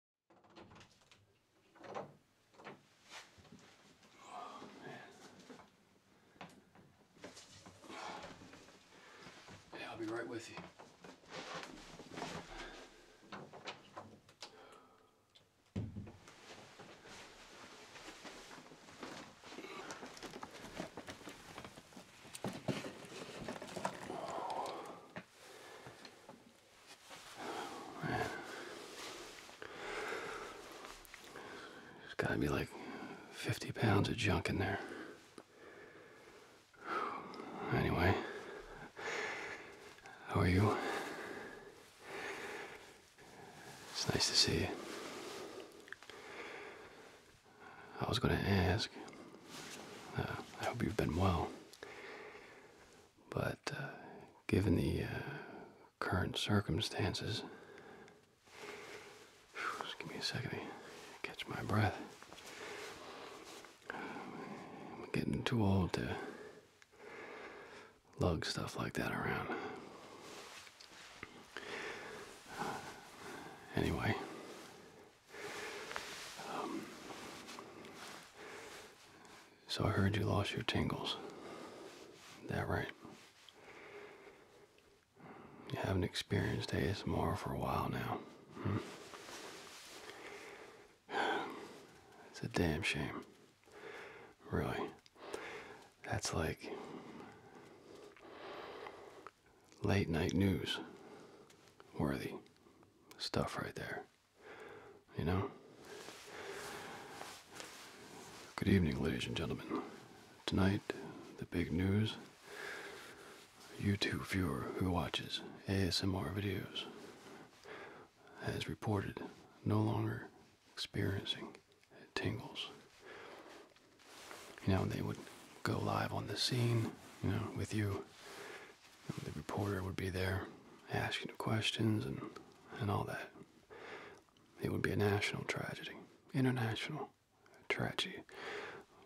Oh, I'll be right with you. There's gotta be like 50 pounds of junk in there. Anyway, how are you? It's nice to see you. I was going to ask. Uh, I hope you've been well but uh, given the uh, current circumstances, give me a second to catch my breath. I'm getting too old to lug stuff like that around. anyway. Um, so I heard you lost your tingles. That right? You haven't experienced ASMR for a while now. Hmm. It's a damn shame. Really. That's like late night news worthy stuff right there. You know? Good evening, ladies and gentlemen. Tonight, the big news You two viewer who watches ASMR videos has reported no longer experiencing tingles. You know, they would go live on the scene, you know, with you the reporter would be there asking questions and, and all that. It would be a national tragedy, international tragedy.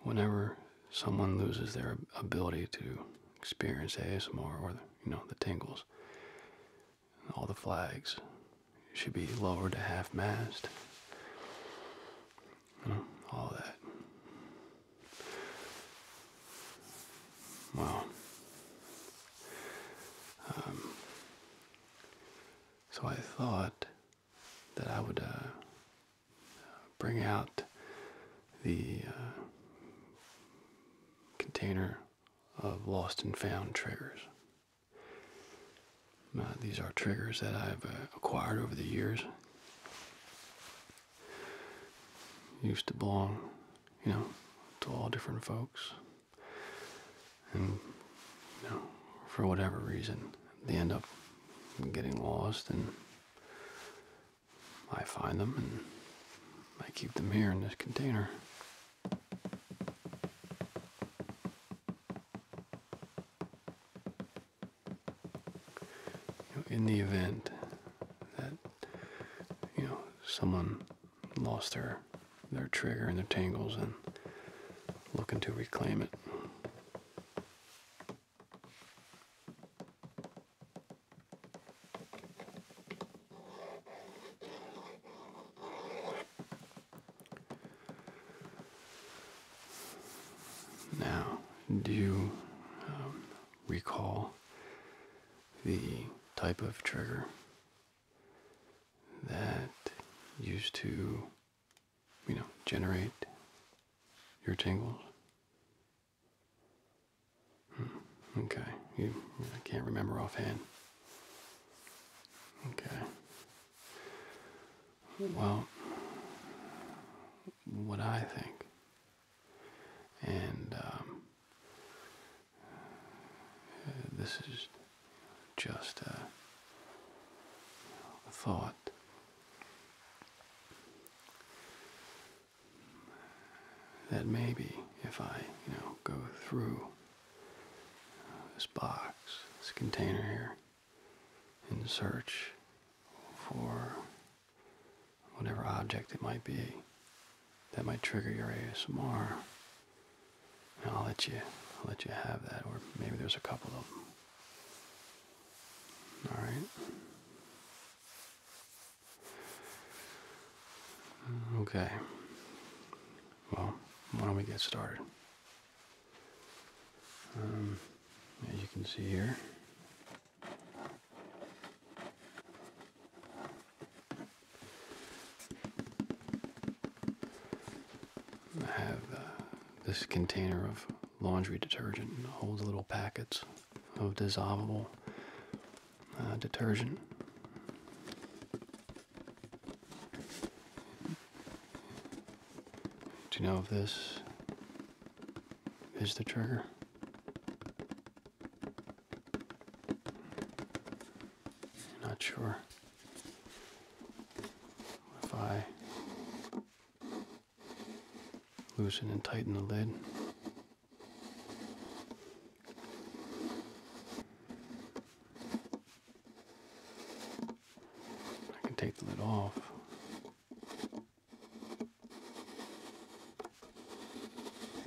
Whenever someone loses their ability to experience ASMR or the, you know the tingles, all the flags should be lowered to half mast. all that. Well, um, so I thought that I would uh, bring out the uh, container of lost and found triggers. Uh, these are triggers that I've acquired over the years used to belong, you know, to all different folks. And, you know, for whatever reason, they end up getting lost, and I find them and I keep them here in this container. in the event that you know someone lost their their trigger and their tangles and looking to reclaim it. Now, do you um, recall the type of trigger that used to, you know, generate your tingles. Hmm, okay, you, I can't remember offhand. Okay. Well, what I think and um, this is just a, thought. That maybe if I, you know, go through uh, this box, this container here, and search for whatever object it might be that might trigger your ASMR. I'll let you I'll let you have that, or maybe there's a couple of them. All right. Okay. Well, why don't we get started? Um, as you can see here, I have uh, this container of laundry detergent holds little packets of dissolvable uh, detergent. Do you know if this is the trigger? Not sure if I loosen and tighten the lid. I can take the lid off.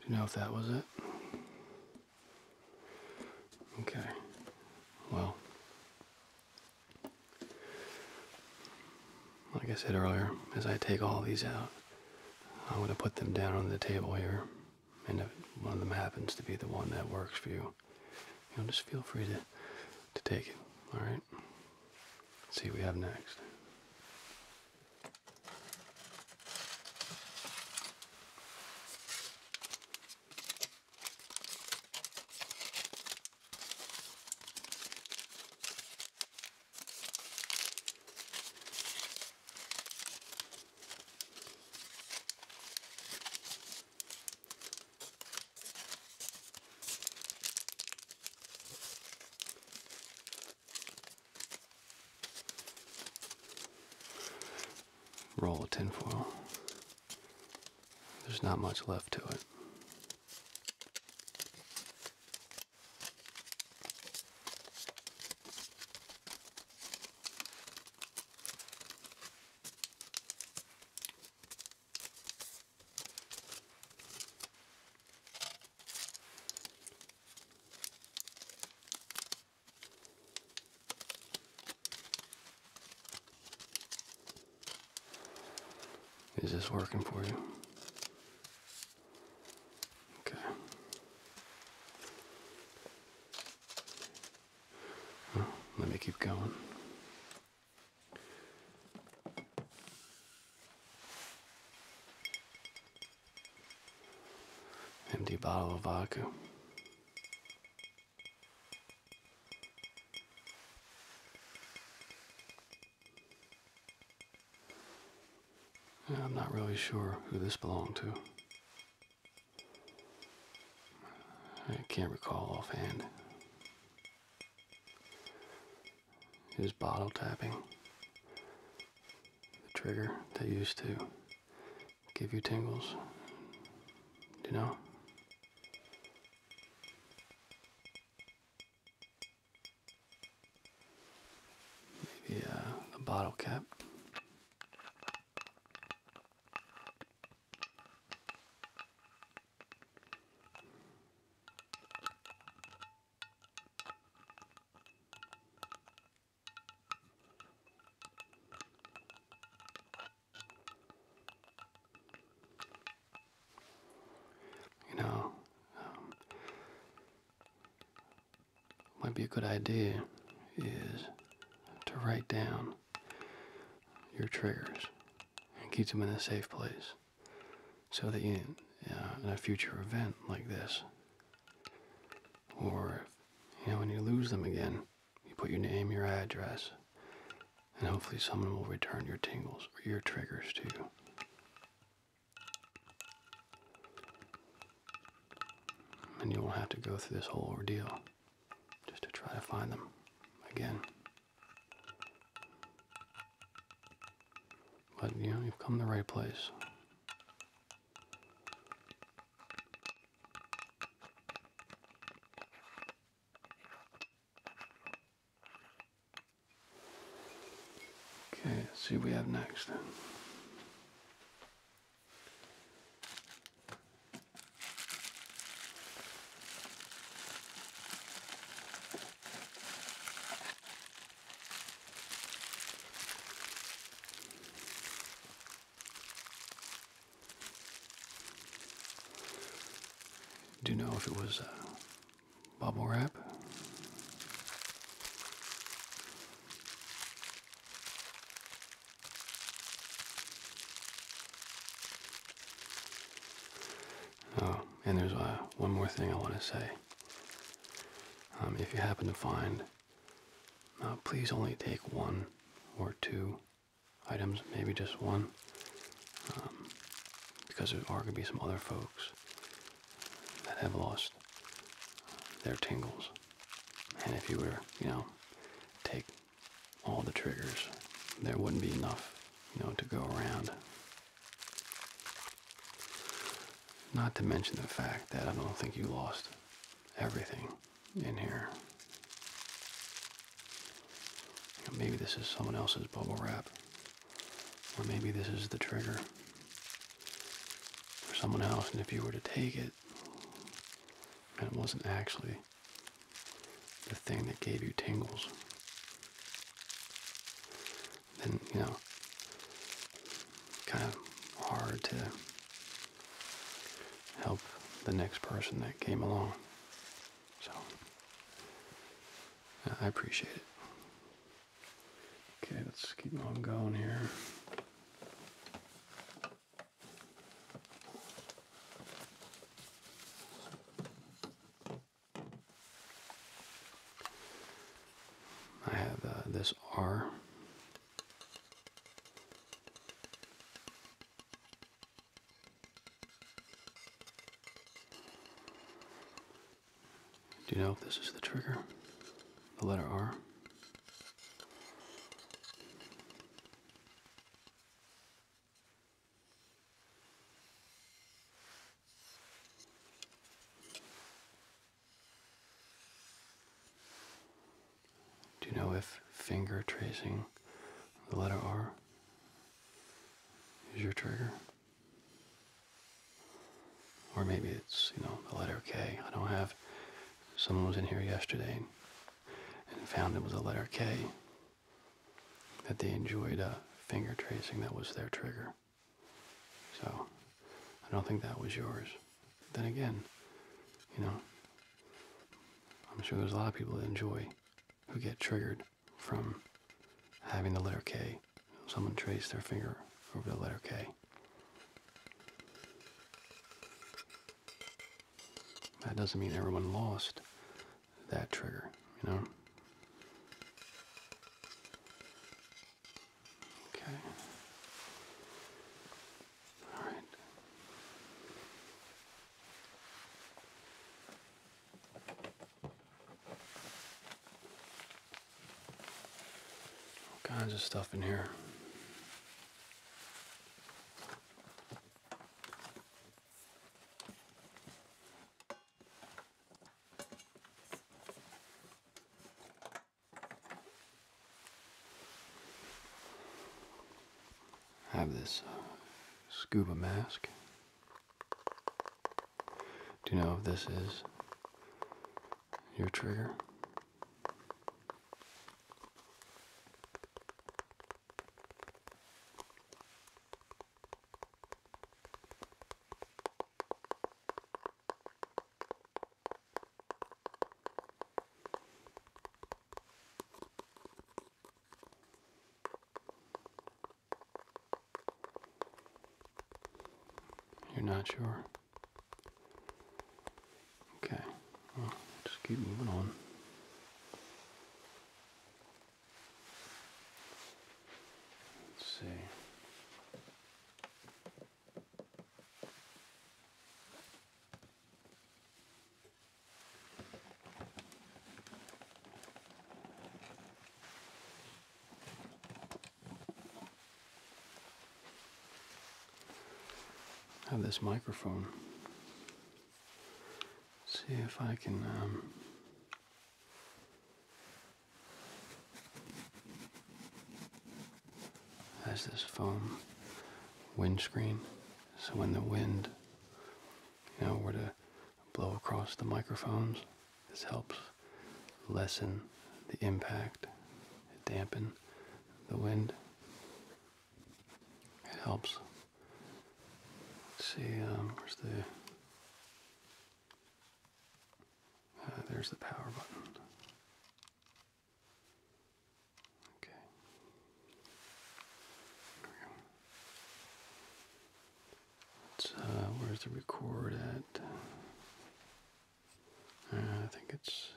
Do you know if that was it? Okay. Well, like I said earlier, as I take all these out, I'm going to put them down on the table here and if one of them happens to be the one that works for you, you know, just feel free to to take it. All see what we have next. Roll a tinfoil. There's not much left to it. Is this working for you? Okay. Oh, let me keep going. Empty bottle of vodka. I'm not really sure who this belonged to. I can't recall offhand. His bottle tapping the trigger that used to give you tingles? you know? Maybe uh, the bottle cap. You know, um, might be a good idea is to write down your triggers and keep them in a safe place so that uh, in a future event like this, or you know, when you lose them again, you put your name, your address, and hopefully someone will return your tingles or your triggers to you and you won't have to go through this whole ordeal just to try to find them again. But you know, you've come to the right place. Okay, see we have next. Do you know if it was uh, bubble wrap? Oh, and there's uh, one more thing I want to say. Um, if you happen to find, uh, please only take one or two items, maybe just one, um, because there are going to be some other folks that have lost their tingles. And if you were, you know, take all the triggers, there wouldn't be enough, you know, to go around. Not to mention the fact that I don't think you lost everything in here. maybe this is someone else's bubble wrap, or maybe this is the trigger for someone else, and if you were to take it, and it wasn't actually the thing that gave you tingles, then, you know, kind of hard to help the next person that came along. So, uh, I appreciate it. Okay, let's keep on going here. I have uh, this R. Do you know if this is the trigger? The letter R. Do you know if finger tracing the letter R is your trigger? Or maybe it's, you know, the letter K. I don't have. Someone was in here yesterday and found it was a letter K that they enjoyed uh, finger tracing that was their trigger. So I don't think that was yours. Then again, you know, I'm sure there's a lot of people that enjoy who get triggered from having the letter K. Someone trace their finger over the letter K. That doesn't mean everyone lost that trigger, you know? Okay. All right. All kinds of stuff in here have this uh, scuba mask. Do you know if this is your trigger? You're not sure. Okay, just keep moving on. Let's see have this microphone. See if I can um, has this foam windscreen, so when the wind, you know, were to blow across the microphones, this helps lessen the impact, dampen the wind. It helps. Let's see, um, where's the. Uh, there's the power button. Okay. Let's, uh, where's the record at? Uh, I think it's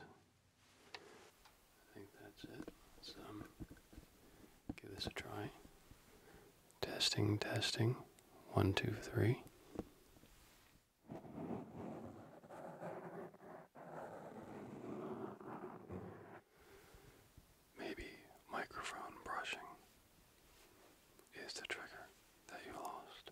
I think that's it. Um, give this a try. Testing, testing. One, two, three. Maybe microphone brushing is the trigger that you lost.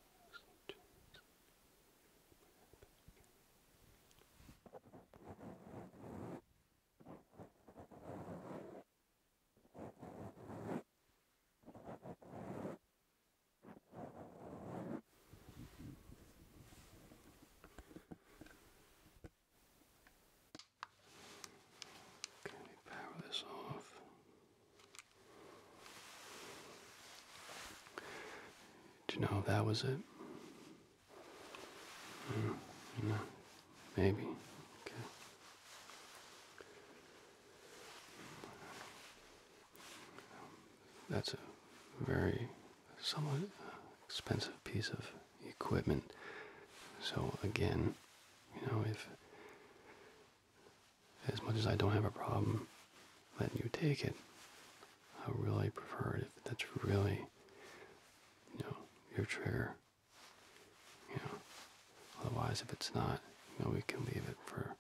Okay, power this off. Do you know if that was it? Hmm, no, maybe. Okay. That's a very somewhat expensive piece of equipment. So again, you know, if as much as I don't have a problem letting you take it, I really prefer it if that's really, you know, your trigger. You know, otherwise, if it's not, you know, we can leave it for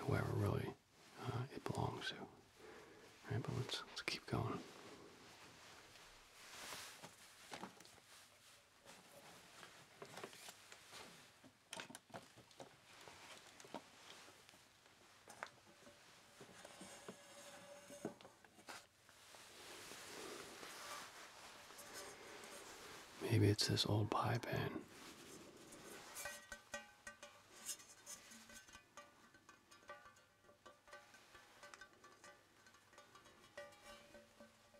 whoever really uh, it belongs to. All right, but let's let's keep going. Maybe it's this old pie pan.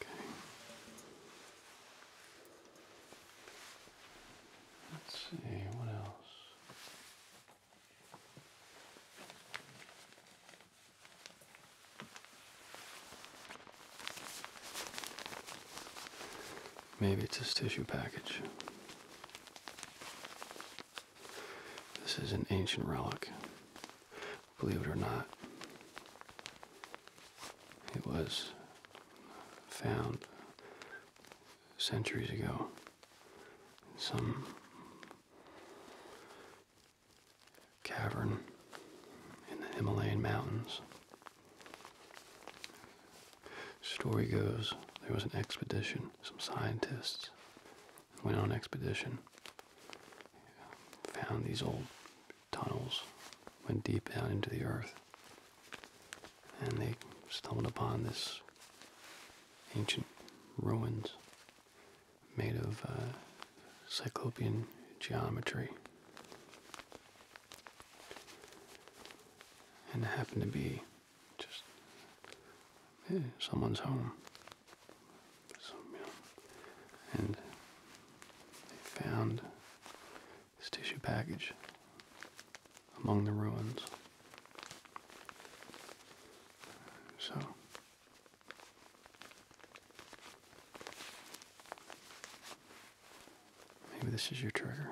Okay. Let's see what else. Maybe it's a tissue package. This is an ancient relic believe it or not. It was found centuries ago some cavern in the Himalayan mountains. Story goes there was an expedition, some scientists went on an expedition, found these old tunnels went deep down into the earth. And they stumbled upon this ancient ruins made of uh, cyclopean geometry. And happened to be just eh, someone's home. They found this tissue package among the ruins. So. Maybe this is your trigger.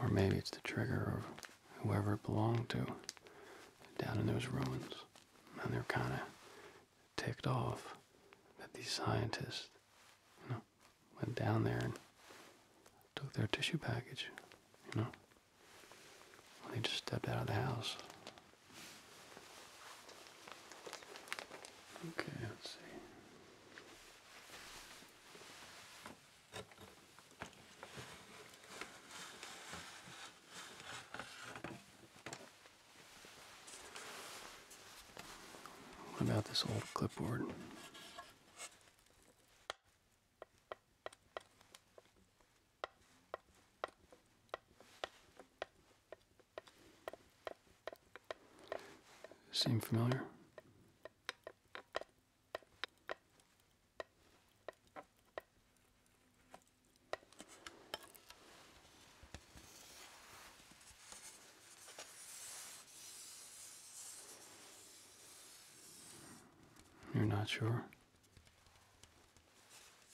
Or maybe it's the trigger of whoever it belonged to down in those ruins. And they're kind of ticked off that these scientists you know, went down there and took their tissue package, you know. they just stepped out of the house, Okay, let's see. What about this old clipboard? Seem familiar? You're not sure?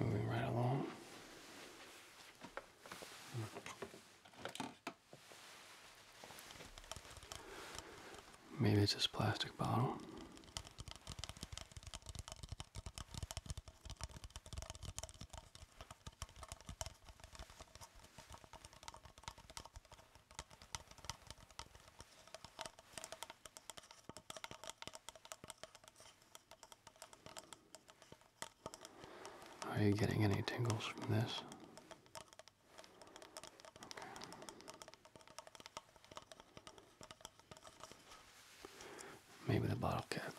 Moving right along. Maybe it's this plastic bottle. Are you getting any tingles from this? Maybe the bottle cap.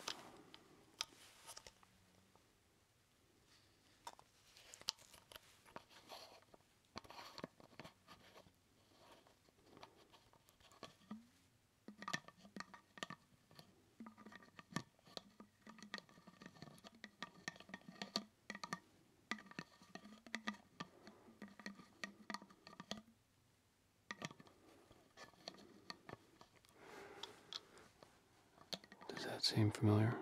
Does that seem familiar?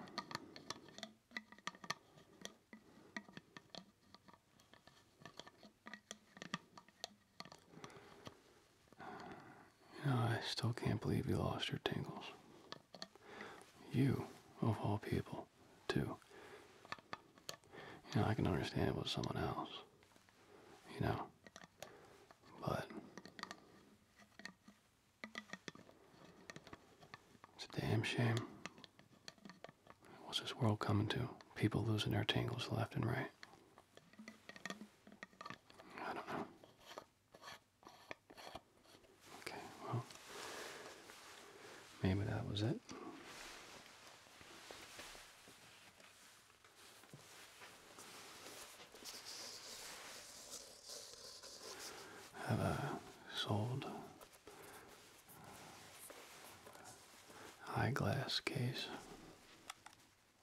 You know, I still can't believe you lost your tangles. You, of all people, too. You know, I can understand it was someone else. You know. But it's a damn shame. What's this world coming to? People losing their tangles left and right. I don't know. Okay, well, maybe that was it. Have I sold eyeglass case?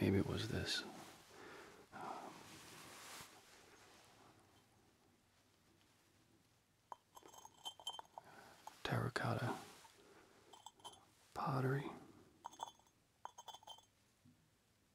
Maybe it was this. terracotta pottery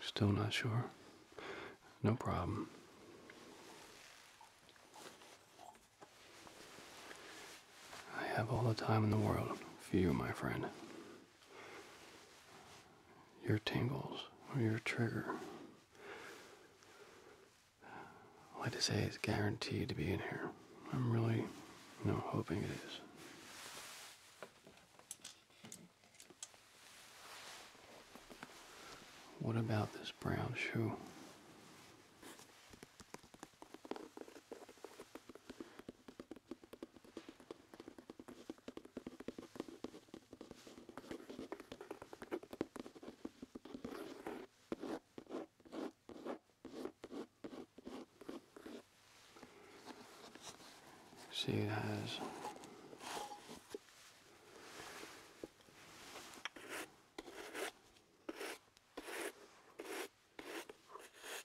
Still not sure. No problem. I have all the time in the world for you, my friend. Your tingles or your trigger. All I to say is guaranteed to be in here. I'm really, you hoping it is. What about this brown shoe? See, it has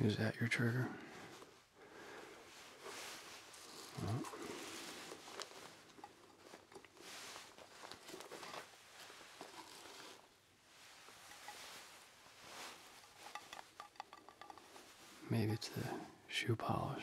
Is that your trigger? Maybe it's the shoe polish.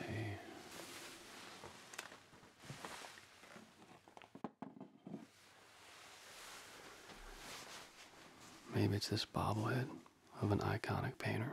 let Maybe it's this bobblehead of an iconic painter.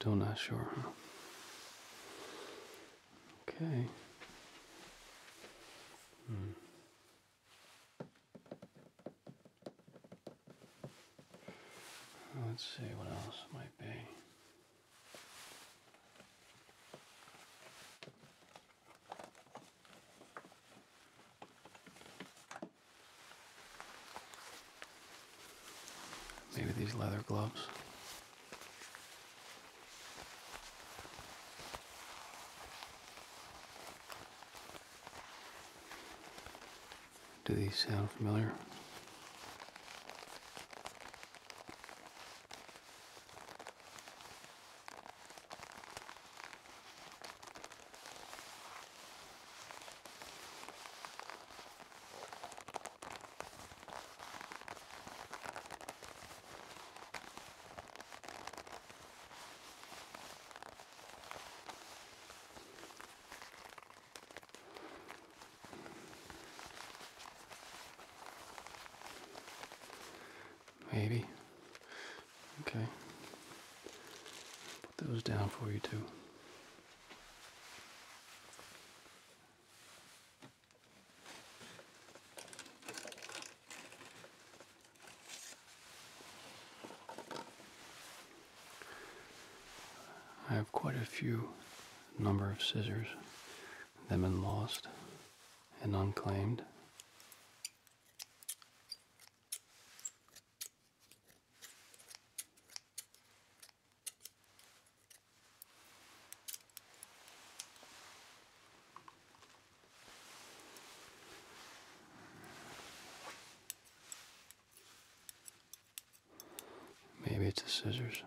Still not sure, huh? Okay. Hmm. Oh, let's see what else might be. Maybe these leather gloves. Do these sound familiar? Maybe. Okay. Put those down for you too. I have quite a few number of scissors that have been lost and unclaimed. Maybe it's the scissors.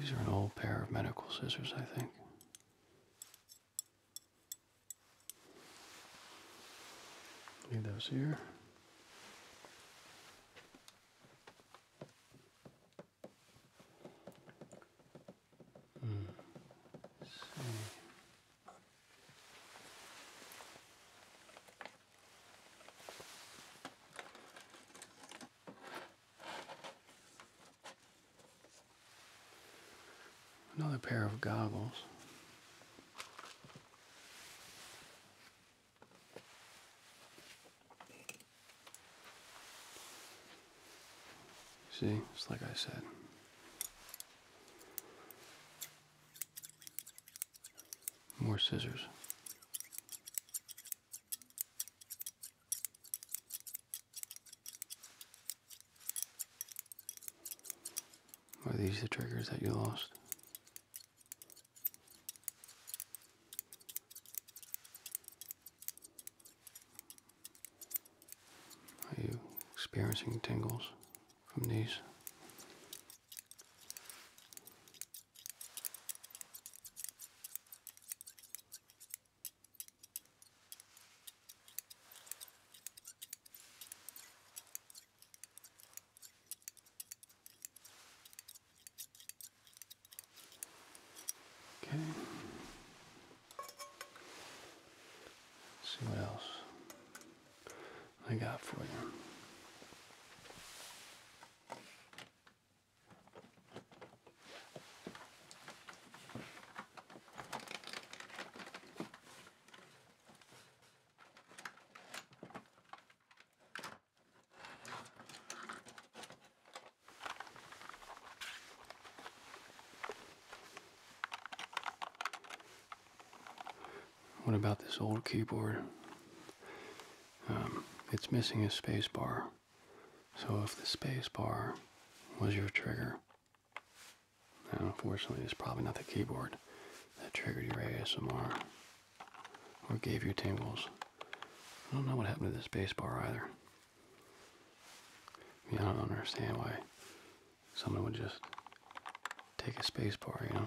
These are an old pair of medical scissors, I think. Need those here. Mm. See. Another pair of goggles. See, it's like I said. More scissors. Are these the triggers that you lost? Are you experiencing tingles? from these. Okay. see what else. I got for you. What about this old keyboard? Um, it's missing a spacebar. So if the spacebar was your trigger, and unfortunately it's probably not the keyboard that triggered your ASMR or gave you tingles. I don't know what happened to this space either. I, I don't understand why someone would just take a space bar, you know.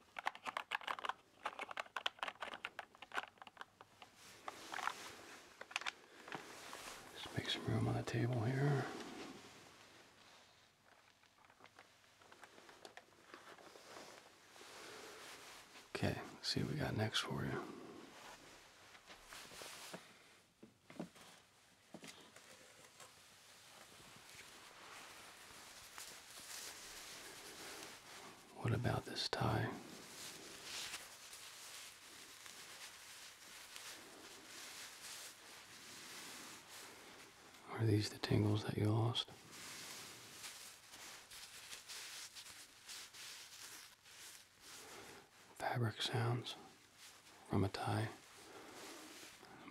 Just make some room on the table here. Okay, see what we got next for you. What about this tie? Are these the tangles that you lost? Fabric sounds from a tie,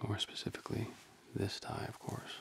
more specifically, this tie, of course.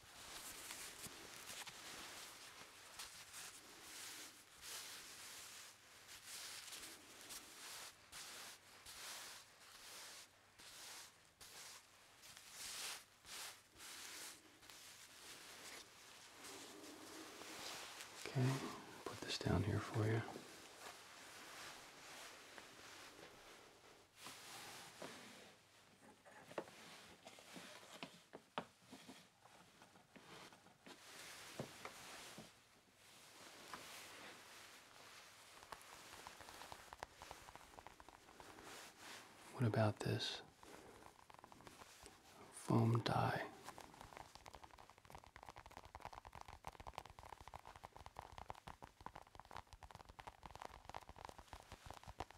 Okay, put this down here for you. What about this foam dye?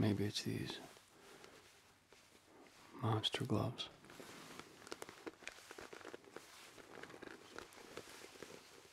Maybe it's these monster gloves.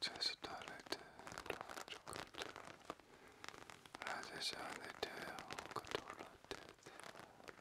제스타를 조금 라제시안에 대하여 그토록 대대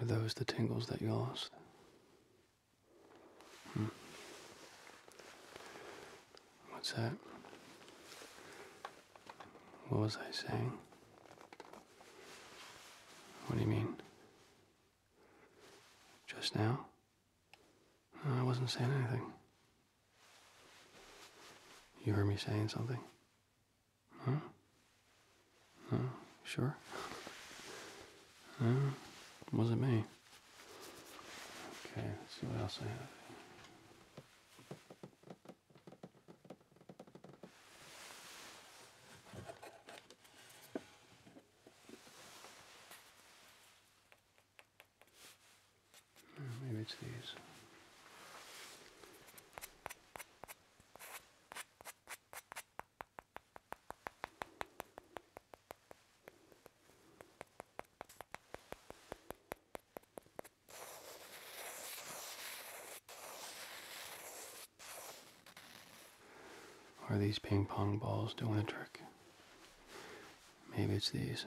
Are those the tingles that you lost? Hmm. What's that? What was I saying? What do you mean? Just now? I wasn't saying anything. You heard me saying something? Huh? Huh? Sure? No, it wasn't me. Okay, let's see what else I have. Hmm, maybe it's these. Are these ping pong balls doing the trick? Maybe it's these.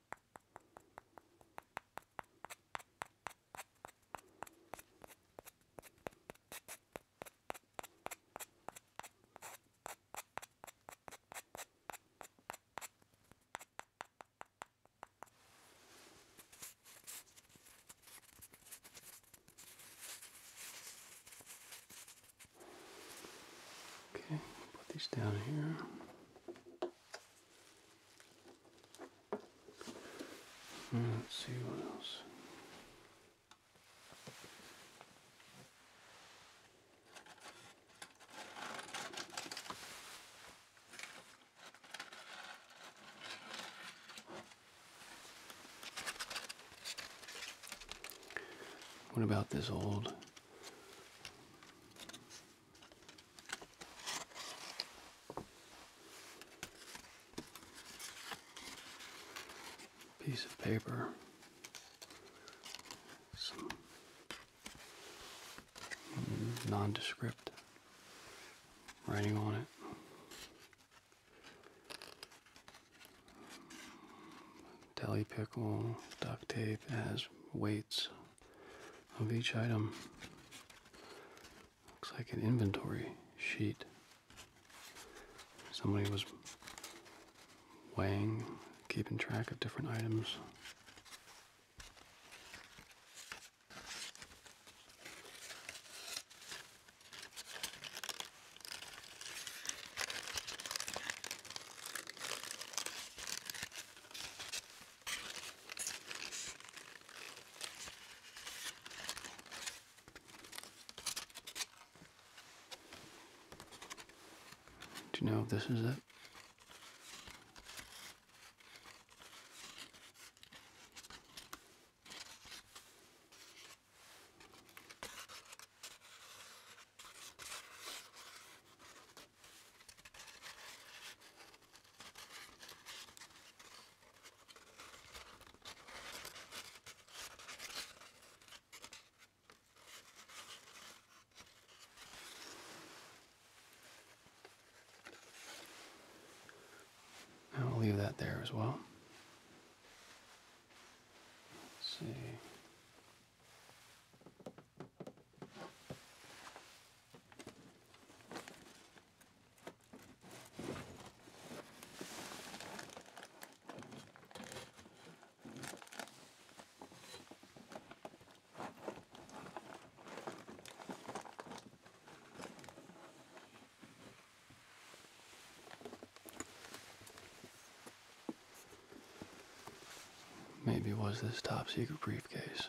Okay, put these down here. Hmm, let's see what else. What about this old piece of paper, some nondescript writing on it. Deli pickle, duct tape, it has weights of each item. Looks like an inventory sheet. Somebody was weighing, keeping track of different items. Do you know if this is it? i will leave that there as well. see. Maybe was this top secret briefcase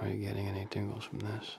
Are you getting any tingles from this?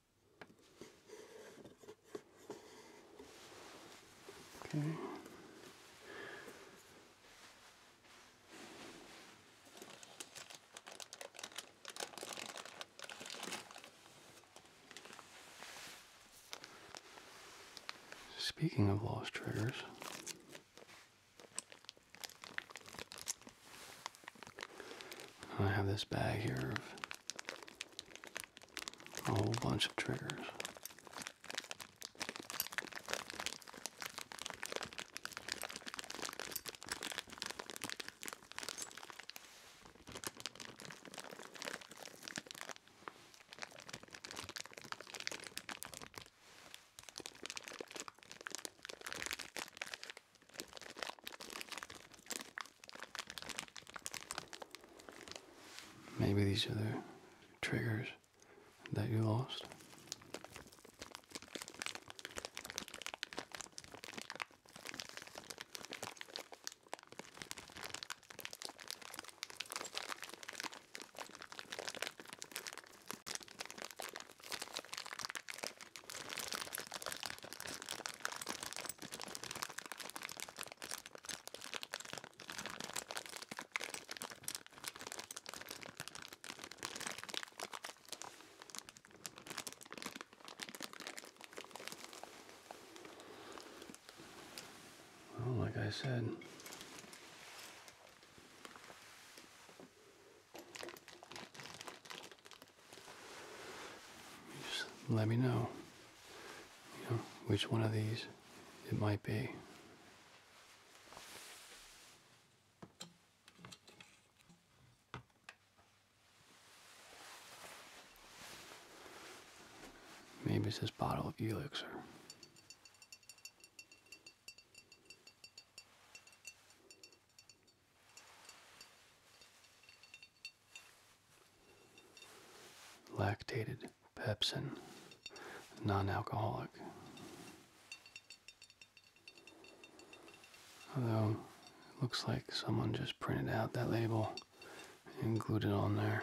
Okay. Speaking of lost triggers, I have this bag here of a whole bunch of triggers. Maybe these are the triggers that you lost. Well, like I said, just let me know, you know which one of these it might be. Maybe it's this bottle of elixir lactated pepsin non-alcoholic although it looks like someone just printed out that label and glued it on there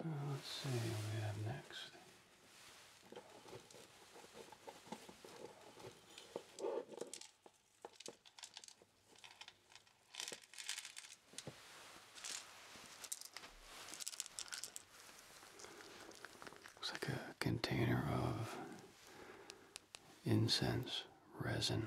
Uh, let's see what we have next. Looks like a container of incense resin.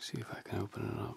See if I can open it up.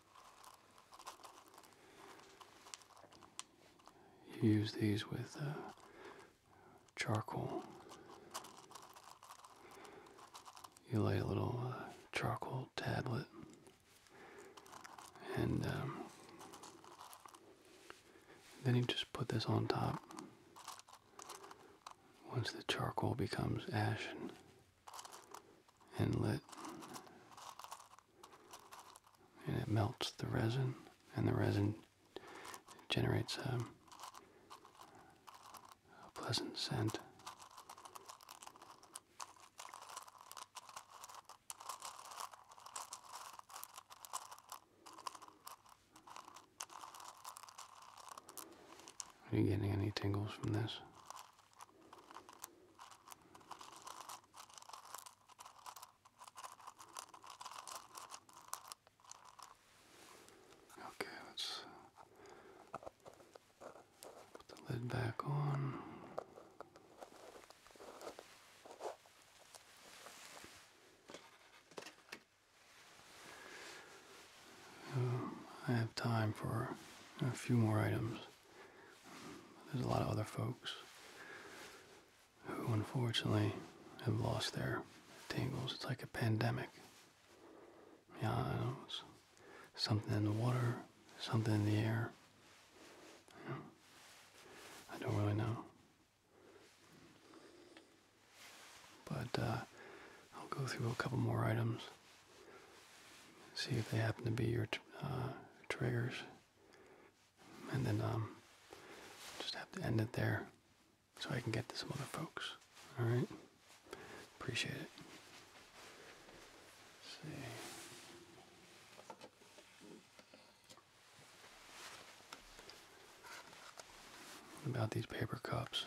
You use these with uh, charcoal. You lay a little uh, charcoal tablet and um, then you just put this on top. Once the charcoal becomes ashen, inlet and it melts the resin and the resin generates um, a pleasant scent. Are you getting any tingles from this? Okay, let's uh, put the lid back on. Um, I have time for a few more items. There's a lot of other folks who unfortunately have lost their tingles. It's like a pandemic. Yeah, something in the water, something in the air. I don't really know. But uh, I'll go through a couple more items see if they happen to be your uh, triggers, and then um, just have to end it there so I can get to some other folks. All right, appreciate it. see. About these paper cups.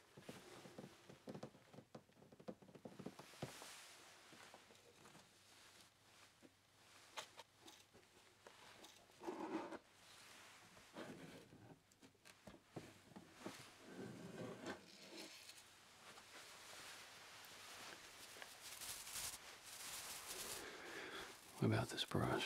What about this brush?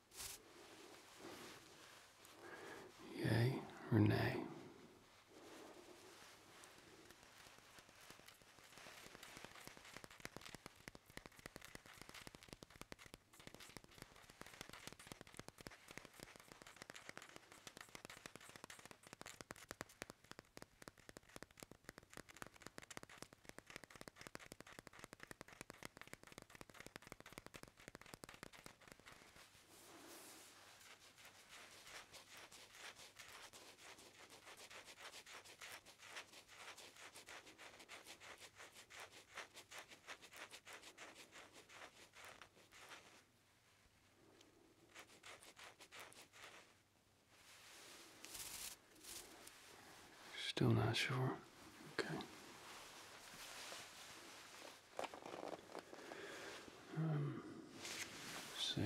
Yay or nay? Still not sure. Okay. Um, see.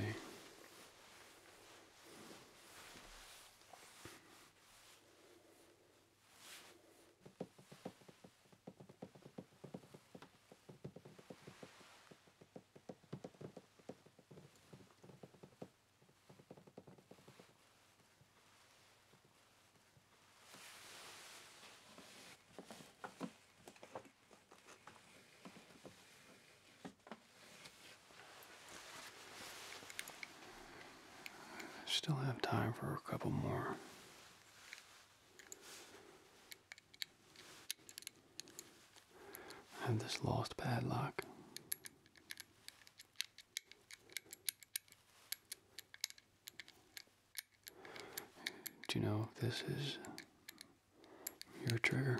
Still have time for a couple more. I have this lost padlock. Do you know if this is your trigger?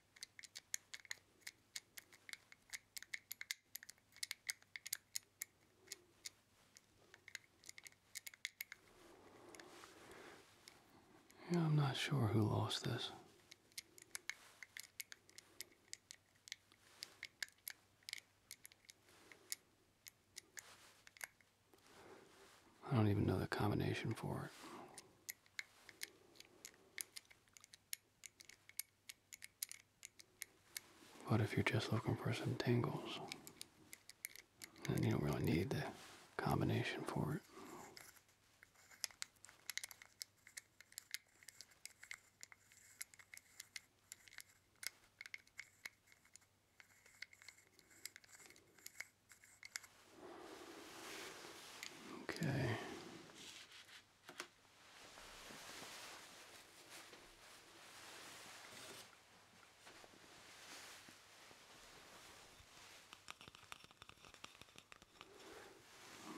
Yeah, I'm not sure who lost this. I don't even know the combination for it. But if you're just looking for some tangles, then you don't really need the combination for it. Okay.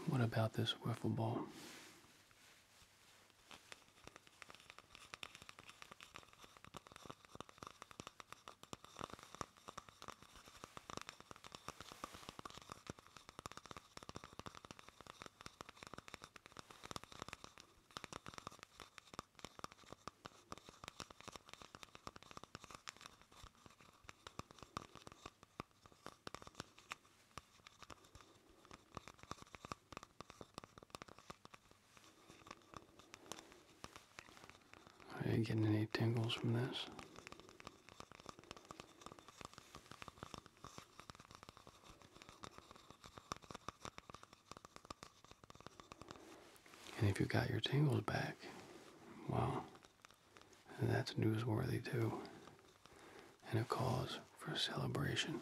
What about this wiffle ball? Are you getting any tingles from this? And if you got your tangles back, well, that's newsworthy too, and a cause for celebration.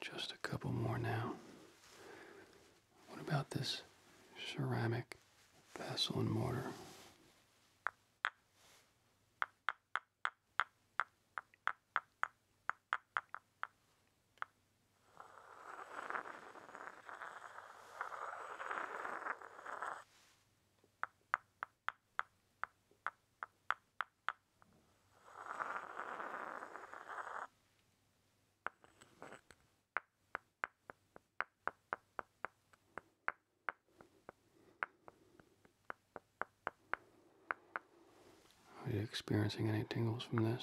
Just a couple more now. What about this ceramic vessel and mortar? Are you experiencing any tingles from this?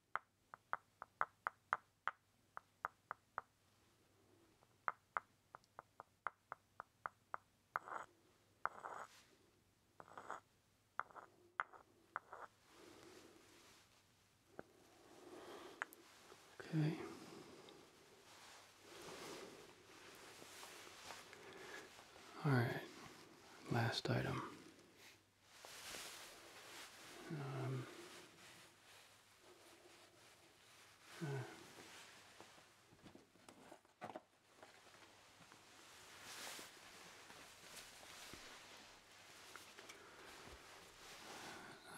Okay. All right. Last item. Um, uh,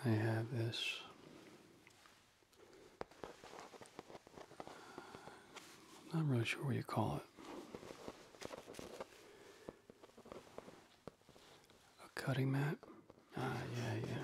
I have this I'm not really sure what you call it. A cutting mat? Ah, yeah, yeah.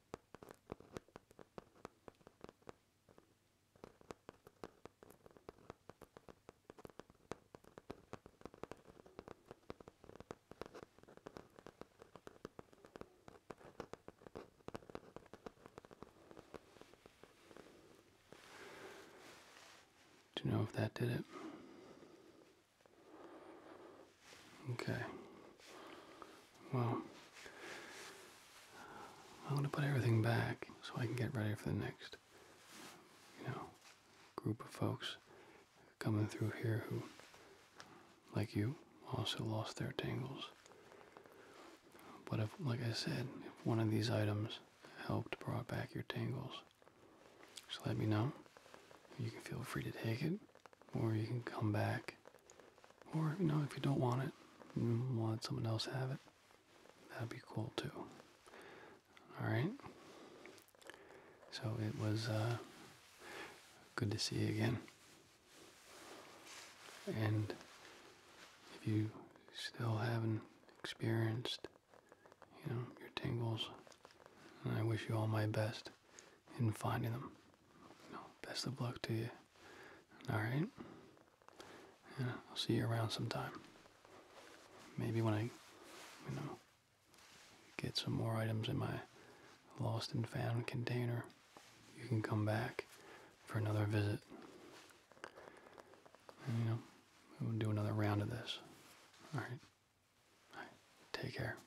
Do you know if that did it? Okay. Well, I'm going to put everything back so I can get ready for the next, you know, group of folks coming through here who, like you, also lost their tangles. But if, like I said, if one of these items helped brought back your tangles, just let me know. You can feel free to take it, or you can come back or, you know, if you don't want it, want someone else have it, that'd be cool too. Alright? So it was uh, good to see you again. And if you still haven't experienced, you know, your tingles, I wish you all my best in finding them best of luck to you. Alright? I'll see you around sometime. Maybe when I, you know, get some more items in my lost and found container, you can come back for another visit. And, you know, we do another round of this. Alright? Alright, take care.